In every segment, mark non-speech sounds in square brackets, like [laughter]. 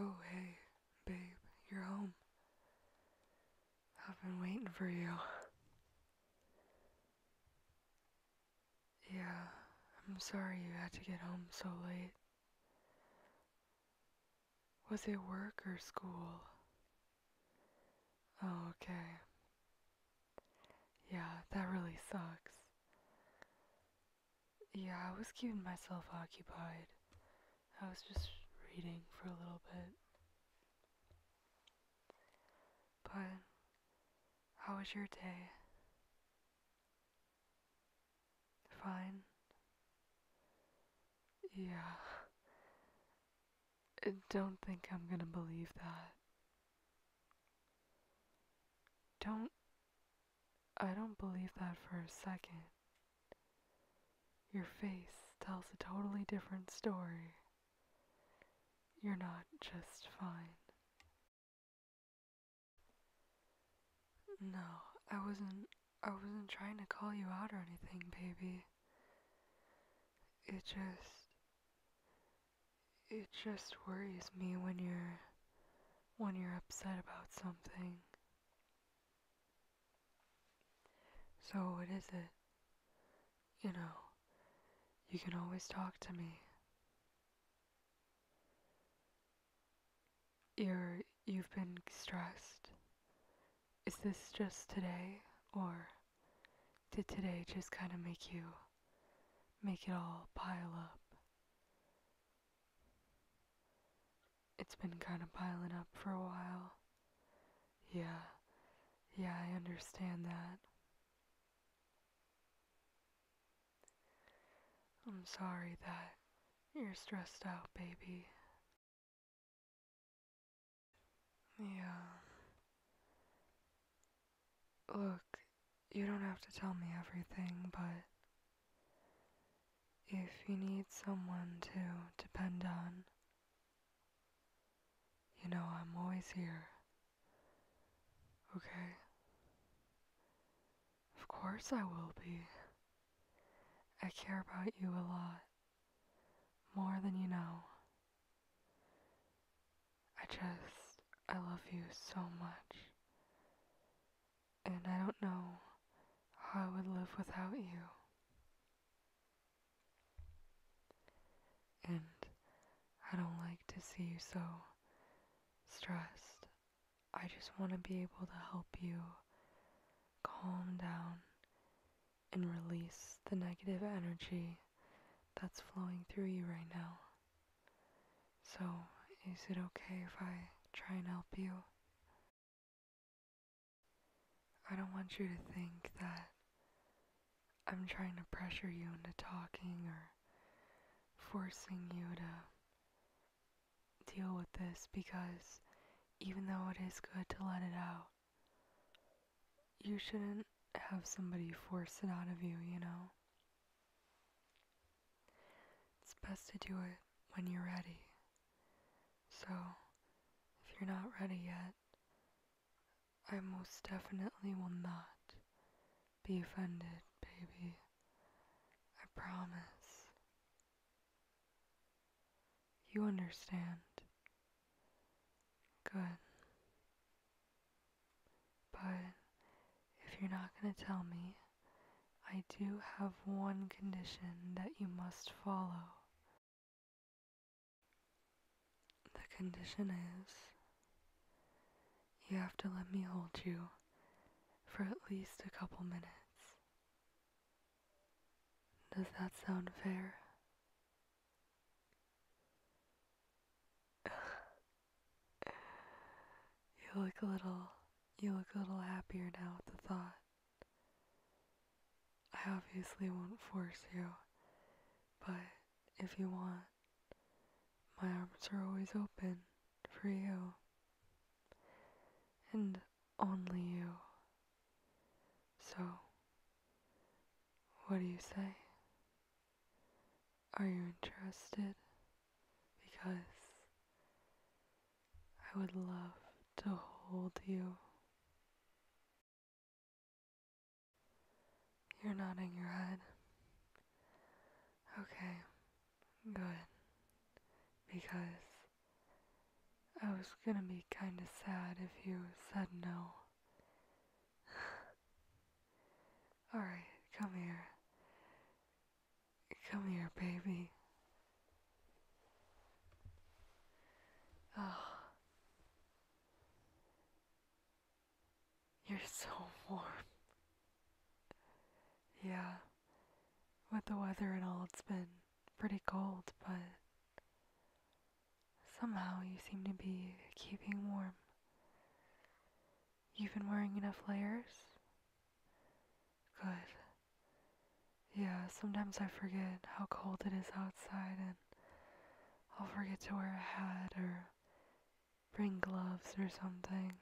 Oh, hey, babe, you're home. I've been waiting for you. Yeah, I'm sorry you had to get home so late. Was it work or school? Oh, okay. Yeah, that really sucks. Yeah, I was keeping myself occupied. I was just reading for a little bit. But, how was your day? Fine. Yeah. [laughs] I don't think I'm gonna believe that. Don't. I don't believe that for a second. Your face tells a totally different story. You're not just fine. No, I wasn't. I wasn't trying to call you out or anything, baby. It just it just worries me when you're when you're upset about something. So what is it? You know, you can always talk to me. You're you've been stressed. Is this just today or did today just kind of make you make it all pile up. It's been kind of piling up for a while. Yeah, yeah, I understand that. I'm sorry that you're stressed out, baby. Yeah. Look, you don't have to tell me everything, but if you need someone to depend on, you know I'm always here. Okay? Of course I will be. I care about you a lot. More than you know. I just, I love you so much. And I don't know how I would live without you. And I don't like to see you so stressed. I just want to be able to help you calm down and release the negative energy that's flowing through you right now. So, is it okay if I try and help you? I don't want you to think that I'm trying to pressure you into talking or forcing you to deal with this because even though it is good to let it out, you shouldn't have somebody force it out of you, you know? It's best to do it when you're ready. So, if you're not ready yet, I most definitely will not be offended, baby. I promise. You understand, Good. But if you're not going to tell me, I do have one condition that you must follow. The condition is you have to let me hold you for at least a couple minutes. Does that sound fair? [sighs] you look a little you look a little happier now at the thought. I obviously won't force you, but if you want, my arms are always open for you and only you. So, what do you say? Are you interested? Because I would love to hold you. You're nodding your head. Okay, good. Because I was gonna be kinda sad if you said no. All right, come here. Come here, baby. Oh. You're so warm. Yeah. With the weather and all, it's been pretty cold, but Somehow you seem to be keeping warm. You've been wearing enough layers? Good. Yeah, sometimes I forget how cold it is outside and I'll forget to wear a hat or bring gloves or something.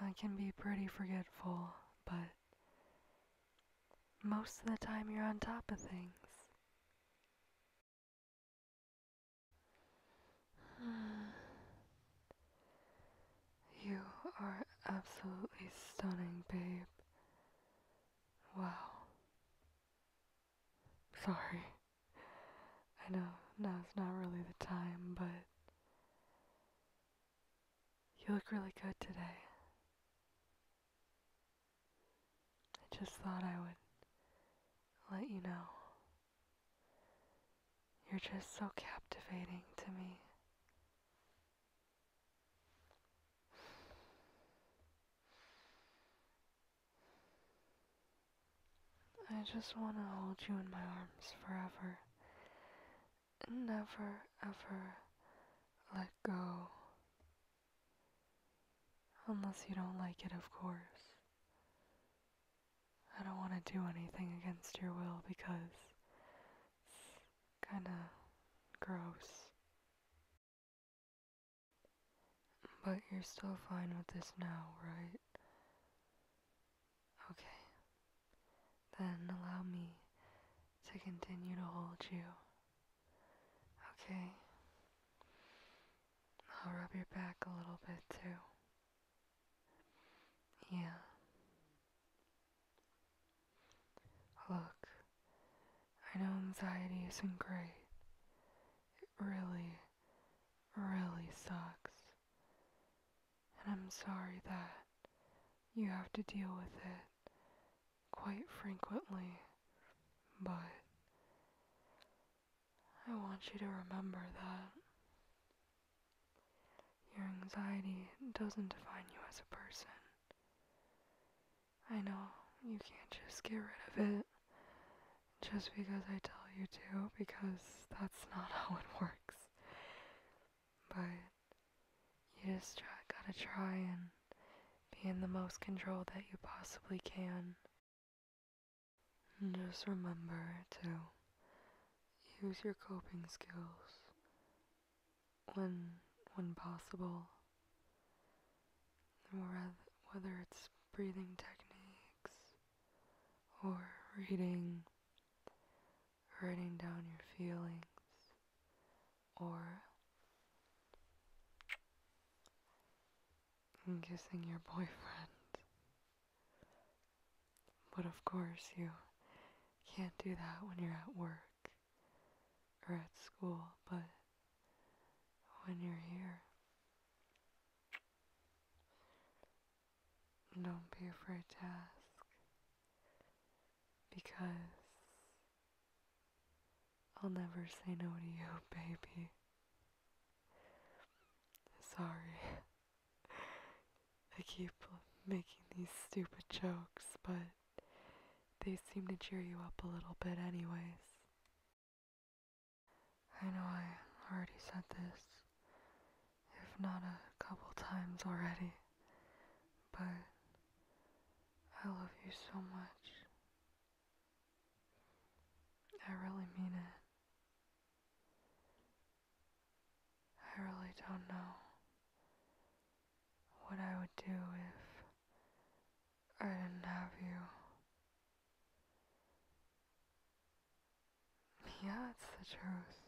I can be pretty forgetful, but most of the time you're on top of things. [sighs] You are absolutely stunning, babe. Wow. Sorry. I know now's not really the time, but you look really good today. I just thought I would let you know. You're just so captivating to me. I just want to hold you in my arms forever and never ever let go. Unless you don't like it, of course. I don't want to do anything against your will because it's kinda gross. But you're still fine with this now, right? Okay. Then allow me to continue to hold you. Okay. I'll rub your back a little bit too. Yeah. Look, I know anxiety isn't great. It really, really sucks. And I'm sorry that you have to deal with it quite frequently, but I want you to remember that your anxiety doesn't define you as a person. I know you can't just get rid of it just because I tell you to, because that's not [laughs] how it works. But you just gotta try and be in the most control that you possibly can. And just remember to use your coping skills when when possible. Whether it's breathing techniques or reading, writing down your feelings, or kissing your boyfriend. But of course, you can't do that when you're at work or at school, but when you're here, don't be afraid to ask because I'll never say no to you, baby. Sorry. I keep making these stupid jokes, but they seem to cheer you up a little bit, anyways. I know I already said this, if not a couple times already but I love you so much. I really mean it. I really don't know what I would do if I didn't have you. Yeah, it's the truth.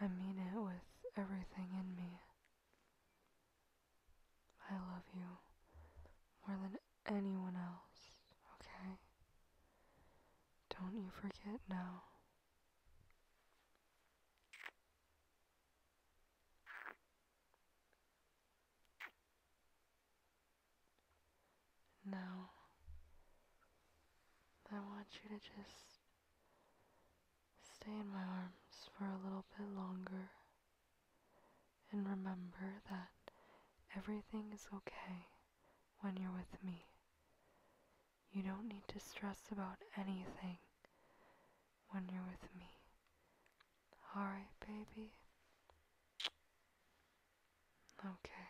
I mean it with everything in me. I love you more than anyone else, okay? Don't you forget now. Now, I want you to just Stay in my arms for a little bit longer and remember that everything is okay when you're with me. You don't need to stress about anything when you're with me. Alright, baby? Okay.